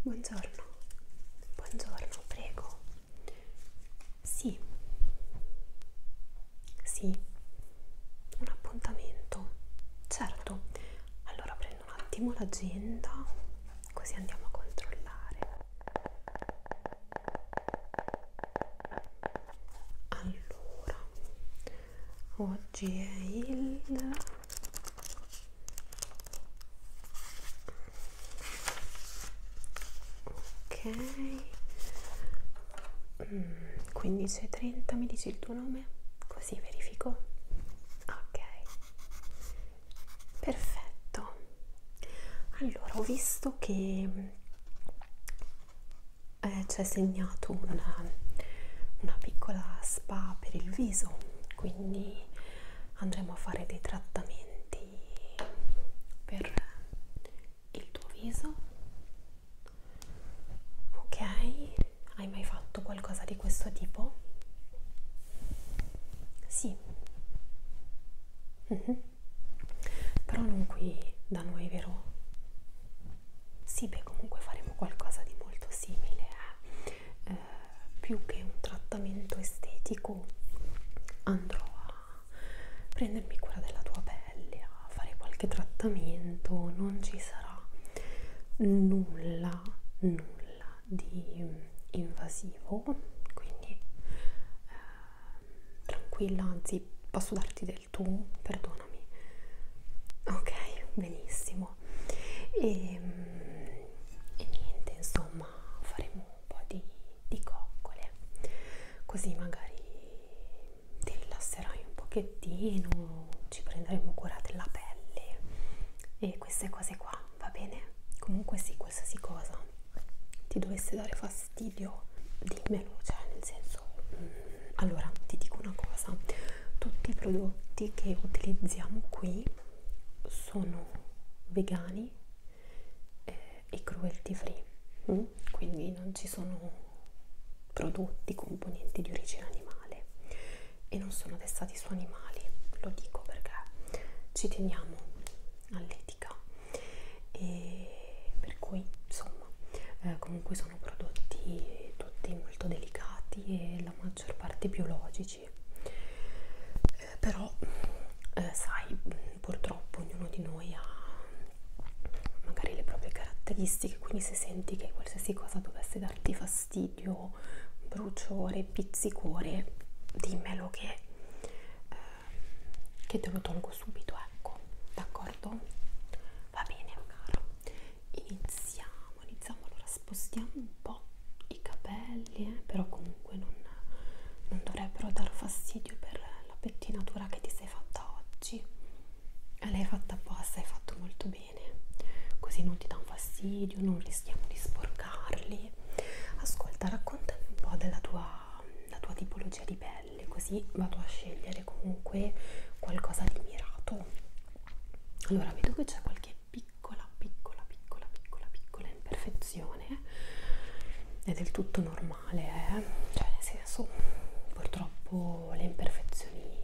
Buongiorno, buongiorno, prego. Sì, sì, un appuntamento, certo. Allora prendo un attimo l'agenda, così andiamo a controllare. Allora, oggi è il... Ok, 15.30 mm, mi dici il tuo nome? Così verifico. Ok, perfetto. Allora, ho visto che eh, c'è segnato una, una piccola spa per il viso, quindi andremo a fare dei trattamenti per il tuo viso Ok, hai mai fatto qualcosa di questo tipo? Sì. Mm -hmm. Però non qui da noi, vero? Sì, beh, comunque faremo qualcosa di molto simile, eh? Eh, più che un trattamento estetico andrò a prendermi cura della tua pelle pelli a fare qualche trattamento non ci sarà nulla nulla di invasivo quindi eh, tranquilla anzi posso darti del tu perdonami ok benissimo e, ehm, e niente insomma faremo un po' di, di coccole così magari ti rilasserai un pochettino, ci prenderemo cura della pelle e queste cose qua, va bene? Comunque sì, qualsiasi cosa ti dovesse dare fastidio, dimmelo, cioè nel senso... Mm, allora, ti dico una cosa, tutti i prodotti che utilizziamo qui sono vegani eh, e cruelty free, mm? quindi non ci sono prodotti, componenti di origine animale e non sono testati su animali, lo dico perché ci teniamo all'etica e per cui insomma eh, comunque sono prodotti tutti molto delicati e la maggior parte biologici eh, però eh, sai purtroppo ognuno di noi ha magari le proprie caratteristiche, quindi se senti che qualsiasi cosa dovesse darti fastidio, bruciore, pizzicore, dimmelo che, eh, che te lo tolgo subito, ecco, d'accordo? Va bene caro, iniziamo, iniziamo, allora spostiamo un po' i capelli, eh, però comunque non, non dovrebbero dar fastidio per la pettinatura che ti sei fatta oggi. Eh, l'hai fatta apposta, hai fatto molto bene bene così non ti dà un fastidio non rischiamo di sporcarli ascolta raccontami un po' della tua la tua tipologia di pelle così vado a scegliere comunque qualcosa di mirato allora vedo che c'è qualche piccola piccola piccola piccola piccola imperfezione eh. è del tutto normale eh? cioè nel senso purtroppo quanto le imperfezioni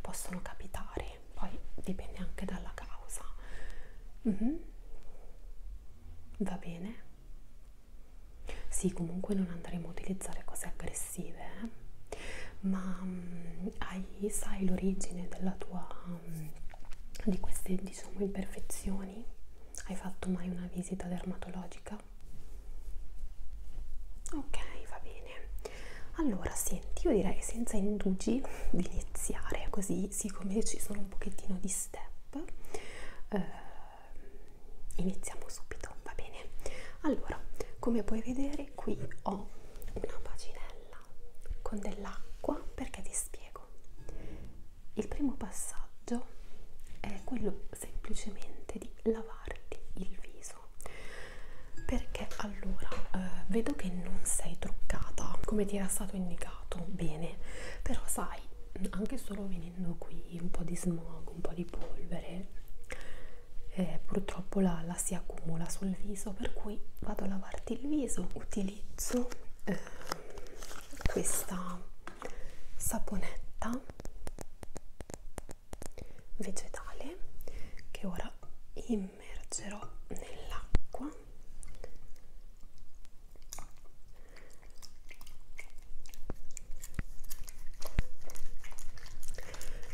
possono capitare, poi dipende anche dalla causa. Mm -hmm. Va bene? Sì, comunque non andremo a utilizzare cose aggressive, eh? ma um, hai, sai l'origine della tua um, di queste diciamo imperfezioni? Hai fatto mai una visita dermatologica? Ecco. Ok, va bene. Allora, senti, io direi senza indugi di iniziare, così siccome ci sono un pochettino di step, eh, iniziamo subito, va bene? Allora, come puoi vedere qui ho una bacinella con dell'acqua perché ti spiego. Il primo passaggio è quello semplicemente di lavarti il viso prezzo perché allora eh, vedo che non sei truccata come ti era stato indicato bene però sai anche solo venendo qui un po' di smog un po' di polvere eh, purtroppo la, la si accumula sul viso per cui vado a lavarti il viso utilizzo eh, questa saponetta vegetale che ora immergerò nell'acqua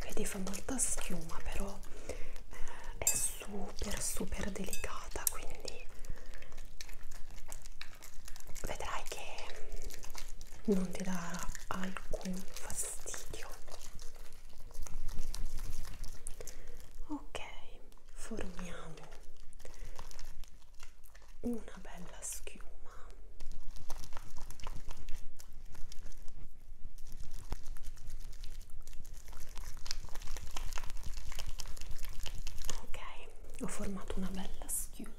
vedi fa molta schiuma però eh, è super super delicata quindi vedrai che non ti darà alcun fastidio ok formiamo una bella schiuma ok ho formato una bella schiuma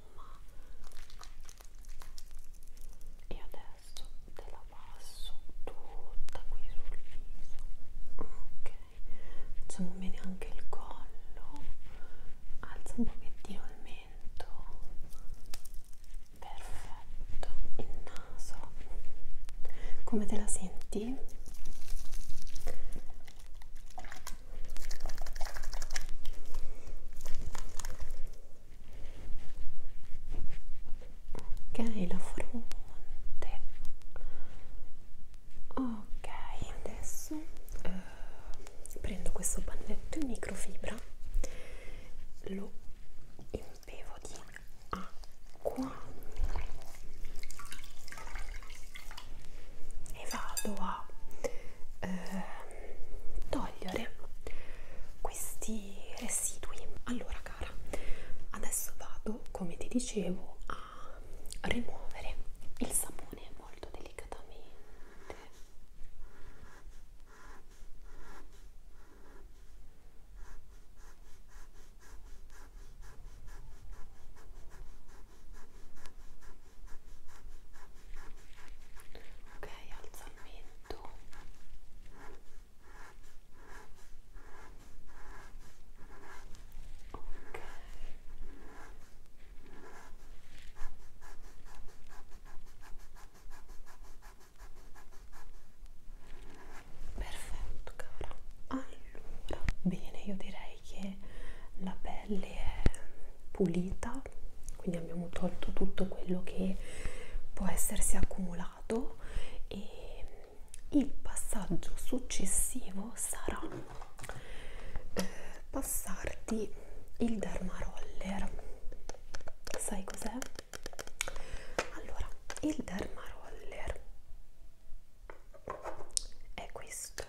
e adesso te la passo tutta qui sul viso ok facciamo bene anche il collo alza un pochettino il mento perfetto il naso come te la senti? ok ok la fronte ok adesso eh, prendo questo pannetto in microfibra lo impevo di acqua e vado a eh, togliere questi residui allora cara adesso vado come ti dicevo a rimuovere il sapone molto delicatamente ok alzamento ok perfetto cara allora bene io direi che la pelle è pulita terra, quindi abbiamo tolto tutto quello che può essersi accumulato e il passaggio successivo sarà eh, passarti il derma roller. Sai cos'è? Allora, il derma roller è questo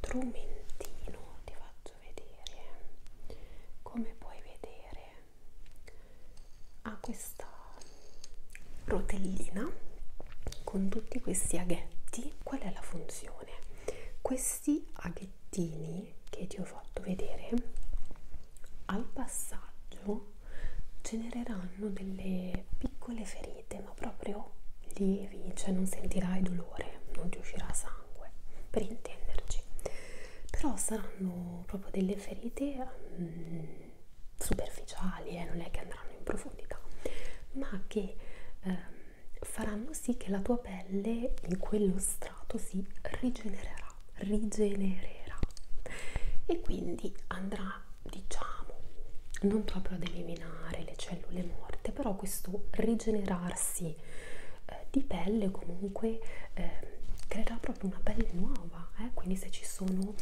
strumentino ti faccio fatto vedere come puoi vedere ha questa rotellina con tutti questi aghetti qual è la funzione questi aghettini che ti ho fatto vedere al passaggio genereranno delle piccole ferite ma proprio lievi cioè non sentirai dolore dolore, non ti uscirà sangue per intenderci, però saranno proprio delle ferite mh, mm, superficiali, eh, non è che andranno in profondità, ma che eh, faranno sì che la tua pelle in quello strato si rigenererà, rigenererà e quindi andrà diciamo non proprio ad eliminare le cellule morte però questo rigenerarsi eh, di pelle comunque eh, creerà proprio una pelle nuova eh? quindi se ci sono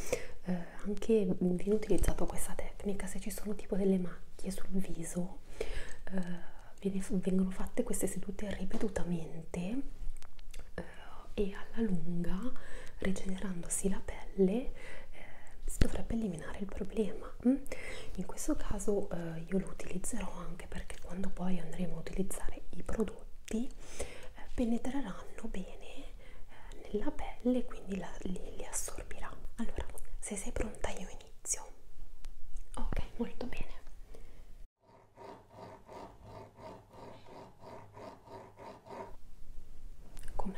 eh, anche viene utilizzata questa tecnica se ci sono tipo delle macchie sul viso eh, vengono fatte queste sedute ripetutamente eh, e alla lunga rigenerandosi la pelle eh, si dovrebbe eliminare il problema mm. in questo caso eh, io lo utilizzerò anche anche perché quando poi andremo a utilizzare i prodotti eh, penetreranno bene eh, nella pelle quindi la, li, li assorbirà allora se sei pronta io inizio ok molto bene Com'è?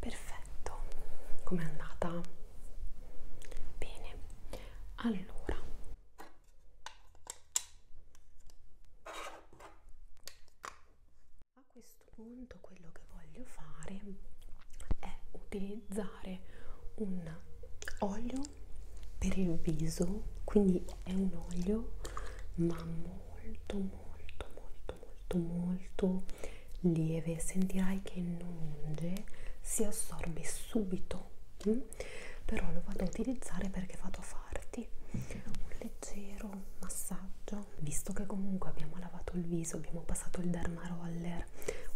Perfetto, com'è andata? Bene, allora a questo punto quello che voglio fare è utilizzare un olio olio per il viso quindi è un olio ma molto molto molto molto molto lieve sentirai che non unge si assorbe subito mm? però lo vado a utilizzare perché vado a farti un leggero massaggio visto che comunque abbiamo lavato il viso abbiamo passato il derma roller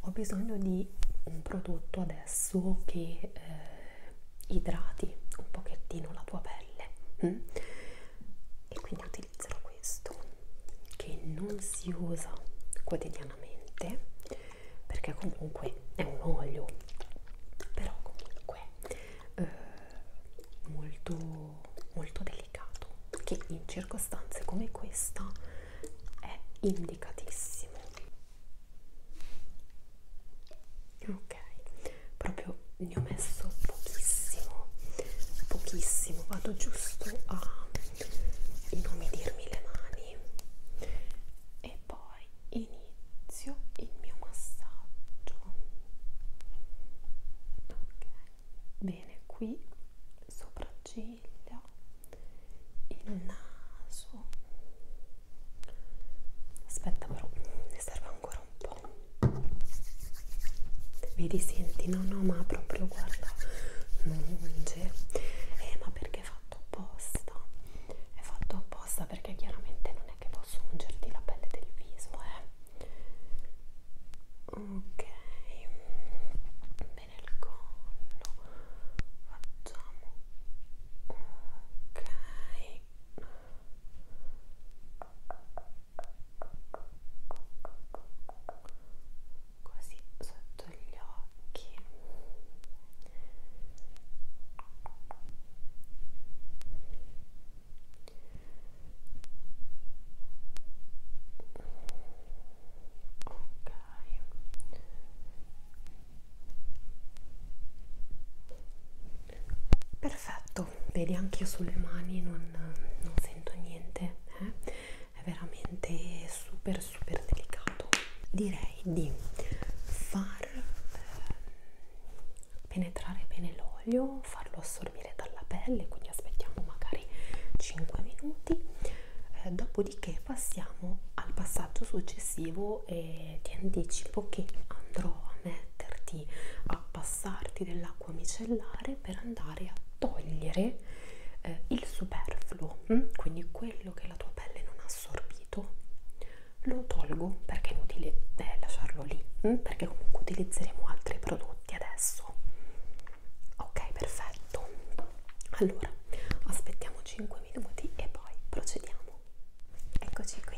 ho bisogno di un prodotto adesso che eh, idrati un pochettino la tua pelle mm? e quindi utilizzerò questo che non si usa quotidianamente perché comunque è un olio però comunque eh, molto molto delicato che in circostanze come questa è indicatissimo ok proprio ne ho messo pochissimo pochissimo vado giusto a inumidirmi le mani e poi inizio il mio massaggio ok bene qui sopracciglia il naso aspetta però ne serve ancora un po' vedi senti no no ma proprio guarda munge eh ma perché è fatto apposta è fatto apposta perché chiaramente non è che posso ungerti la pelle del viso eh ok bene il collo facciamo ok così sotto gli occhi ok Perfetto, vedi anche io sulle mani non, non sento niente, eh? è veramente super super delicato. Direi di far eh, penetrare bene l'olio, farlo assorbire dalla pelle, quindi aspettiamo magari 5 minuti, eh, dopodiché passiamo al passaggio successivo e e ti anticipo che andrò a metterti a passarti dell'acqua micellare per andare a togliere eh, il superfluo hm? quindi quello che la tua pelle non ha assorbito lo tolgo perché è inutile eh, lasciarlo lì hm? perché comunque utilizzeremo altri prodotti adesso ok perfetto allora aspettiamo 5 minuti e poi procediamo eccoci qui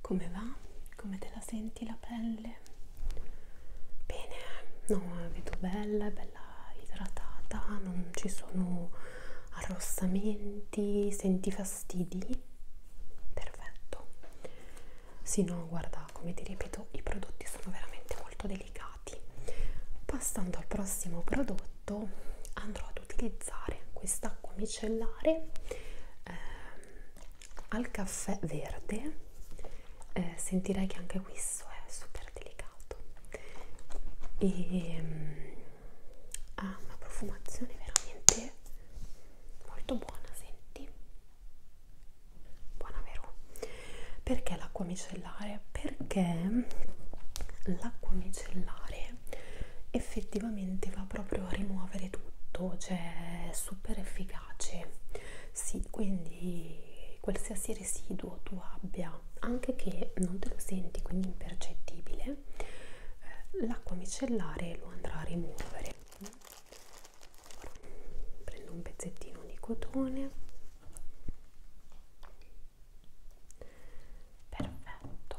come va? Come te la senti la pelle? Bene, no, la vedo bella, bella idratata, non ci sono arrossamenti, senti fastidi? Perfetto. Sì, no, guarda, come ti ripeto, i prodotti sono veramente molto delicati. Passando al prossimo prodotto, andrò ad utilizzare quest'acqua micellare eh, al caffè verde eh, sentirei che anche questo è super delicato e ehm, ha ah, una profumazione veramente molto buona senti buona vero perché l'acqua micellare perché l'acqua micellare effettivamente va proprio a rimuovere tutto, cioè è super efficace. Sì, quindi qualsiasi residuo tu abbia, anche che non te lo senti, quindi impercettibile, eh, l'acqua micellare lo andrà a rimuovere. Prendo un pezzettino di cotone. Perfetto,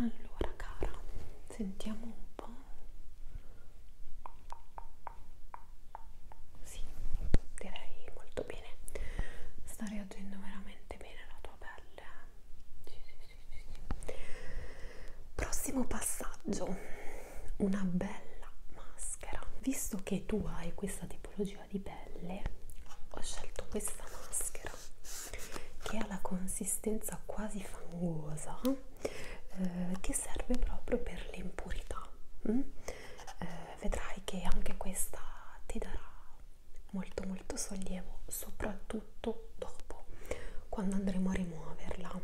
Allora cara, sentiamo un po'. Sì, direi molto bene. Sta reagendo veramente bene la tua pelle. Eh? Sì, sì, sì, sì. Prossimo passaggio una bella maschera visto che tu hai questa tipologia di pelle ho scelto questa maschera che ha la consistenza quasi fangosa eh, che serve proprio per l'impurità mm? eh, vedrai che anche questa ti darà molto molto sollievo soprattutto dopo quando andremo a rimuoverla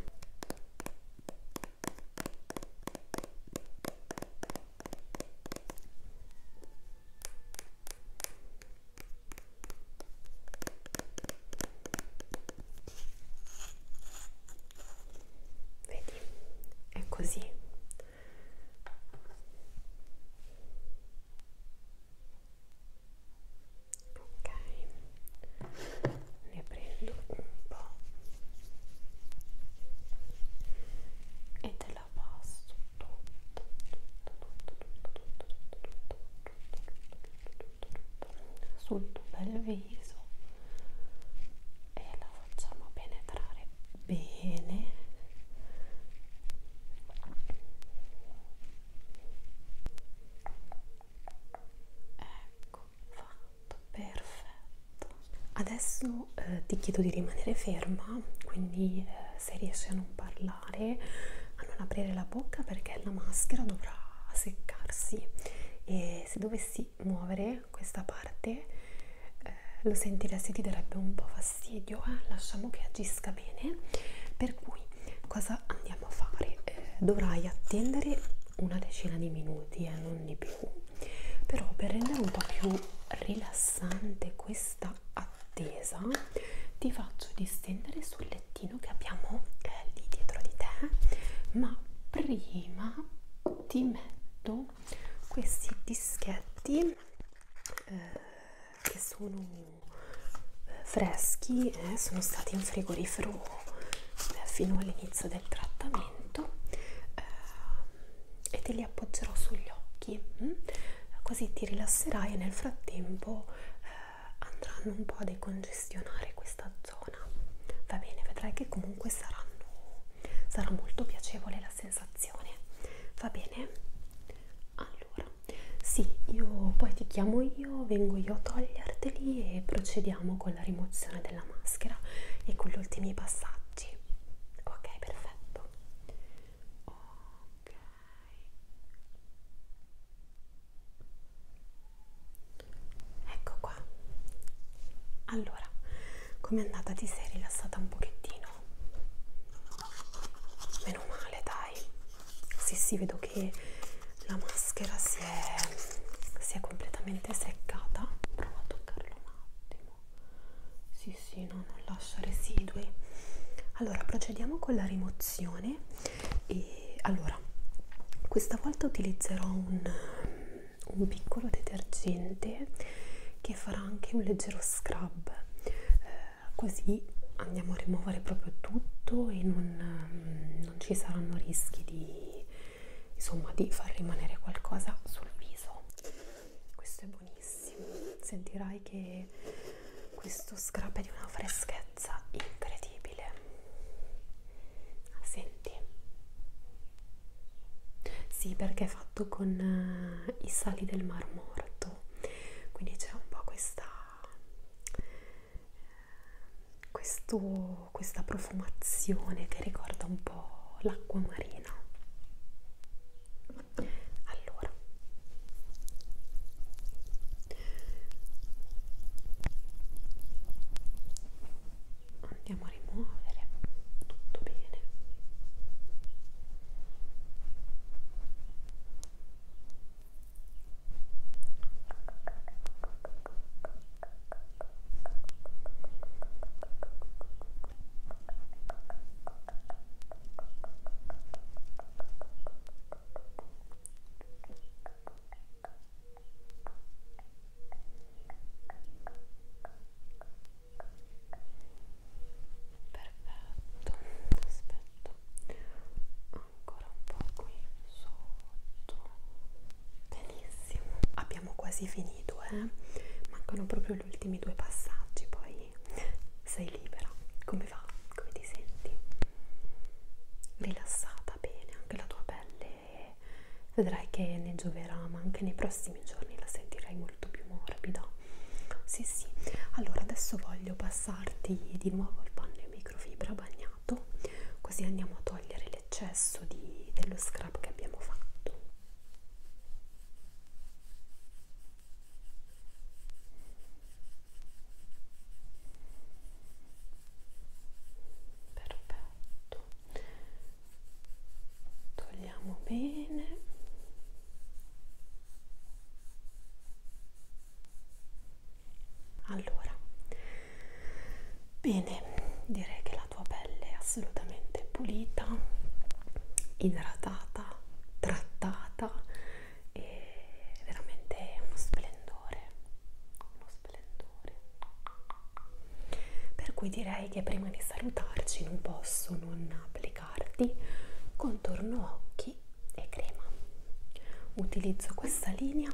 Vedi, è così. Ok ne prendo un po' e te la passo tutta tutta tutta tutta tutta tutta sul tuo bel viso e la facciamo penetrare bene ecco fatto, perfetto. Adesso eh, ti chiedo di rimanere ferma, quindi eh, se riesci a non parlare, a non aprire la bocca perché la maschera dovrà seccarsi e se dovessi muovere questa parte eh, lo sentiresti ti darebbe un po' fastidio, eh? lasciamo che agisca bene. Per cui cosa andiamo a fare? Eh, dovrai attendere una decina di minuti e eh, non di più però per rendere un po' più rilassante questa attesa ti faccio distendere sul lettino che abbiamo eh, lì dietro di te ma prima ti metto questi dischetti eh, che sono eh, freschi eh, sono stati in frigorifero eh, fino all'inizio del trattamento argomento eh, e te li appoggerò sugli occhi mh? Mm? così ti rilasserai e nel frattempo eh, andranno un po' a decongestionare questa zona va bene vedrai che comunque saranno sarà molto piacevole la sensazione va bene allora sì io poi ti chiamo io vengo io a toglierteli e procediamo con la rimozione della la maschera e con gli ultimi passaggi ok perfetto ok ecco qua allora com'è andata ti sei rilassata un pochettino meno male dai sì sì vedo che la maschera si è, si è completamente seccata prova a toccarlo un attimo sì sì no non lascia residui allora procediamo con la rimozione e allora questa volta utilizzerò un, un piccolo detergente che farà anche un leggero scrub eh, così andiamo a rimuovere proprio tutto e non, non ci saranno rischi di insomma di far rimanere qualcosa sul viso questo è buonissimo sentirai che questo scrub è di una freschezza incredibile senti sì perché è fatto con uh, i sali del mar morto quindi c'è un po' questa eh, questo questo, questa profumazione che ricorda un po' l'acqua marina. Allora, andiamo a rimuovere tutto bene. Perfetto, aspetto ancora un po' qui sotto. Benissimo, abbiamo abbiamo quasi finito, eh? mancano proprio gli ultimi due passaggi, poi sei libera. Come va? Come ti senti? Rilassata bene, anche la tua pelle vedrai che ne gioverà, ma anche nei prossimi giorni la sentirai molto più morbida. Sì, sì. Allora, adesso voglio passarti di nuovo il panno in microfibra bagnato, così andiamo a togliere l'eccesso di, dello scrub che abbiamo fatto perfetto togliamo bene allora Bene, direi che la tua pelle è assolutamente pulita, idratata, trattata e veramente uno splendore, uno splendore. Per cui direi che prima di salutarci non posso non applicarti contorno occhi e crema. Utilizzo questa linea,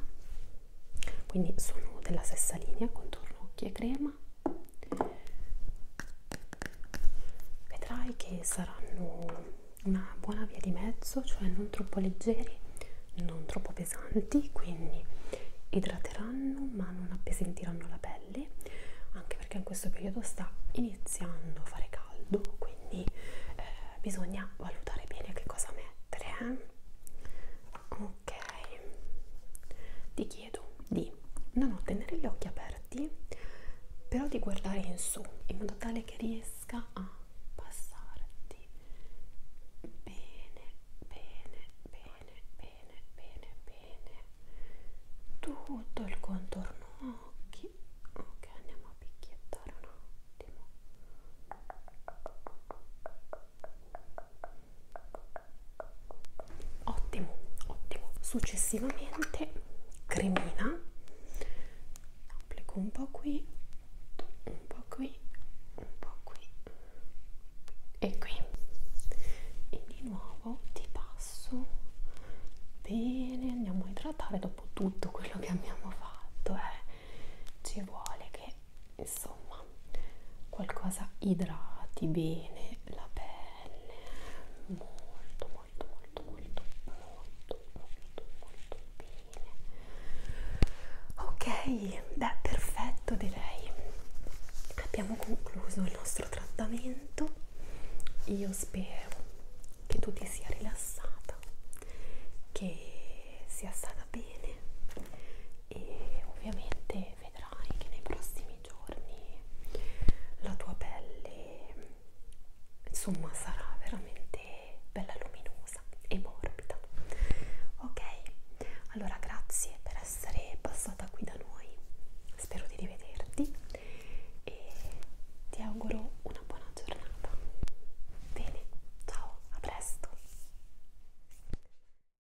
quindi sono della stessa linea, contorno occhi e crema crema vedrai che saranno una buona via di mezzo cioè non troppo leggeri non troppo pesanti quindi idrateranno ma non appesentiranno la pelle anche perché in questo periodo sta iniziando a fare caldo quindi eh, bisogna valutare bene che cosa mettere eh? ok di chiedo di non tenere gli occhi aperti, però di guardare in su in modo tale che riesca a passarti bene, bene, bene, bene, bene, bene tutto il contorno occhi. Ok, andiamo a picchiettare un attimo ottimo ottimo successivamente cremina applico un po qui un po qui un po qui e qui e di nuovo ti passo bene andiamo a idratare dopo tutto quello che abbiamo fatto eh. ci vuole che insomma qualcosa idrati bene la pelle molto molto molto molto molto molto molto bene ok beh perfetto direi abbiamo concluso il nostro trattamento io spero che tu ti sia rilassata che sia stata bene e ovviamente e vedrai che nei prossimi giorni la tua pelle insomma sarà veramente bella luminosa e morbida ok allora grazie per essere passata qui da noi spero di rivederti e ti auguro una buona giornata bene ciao a presto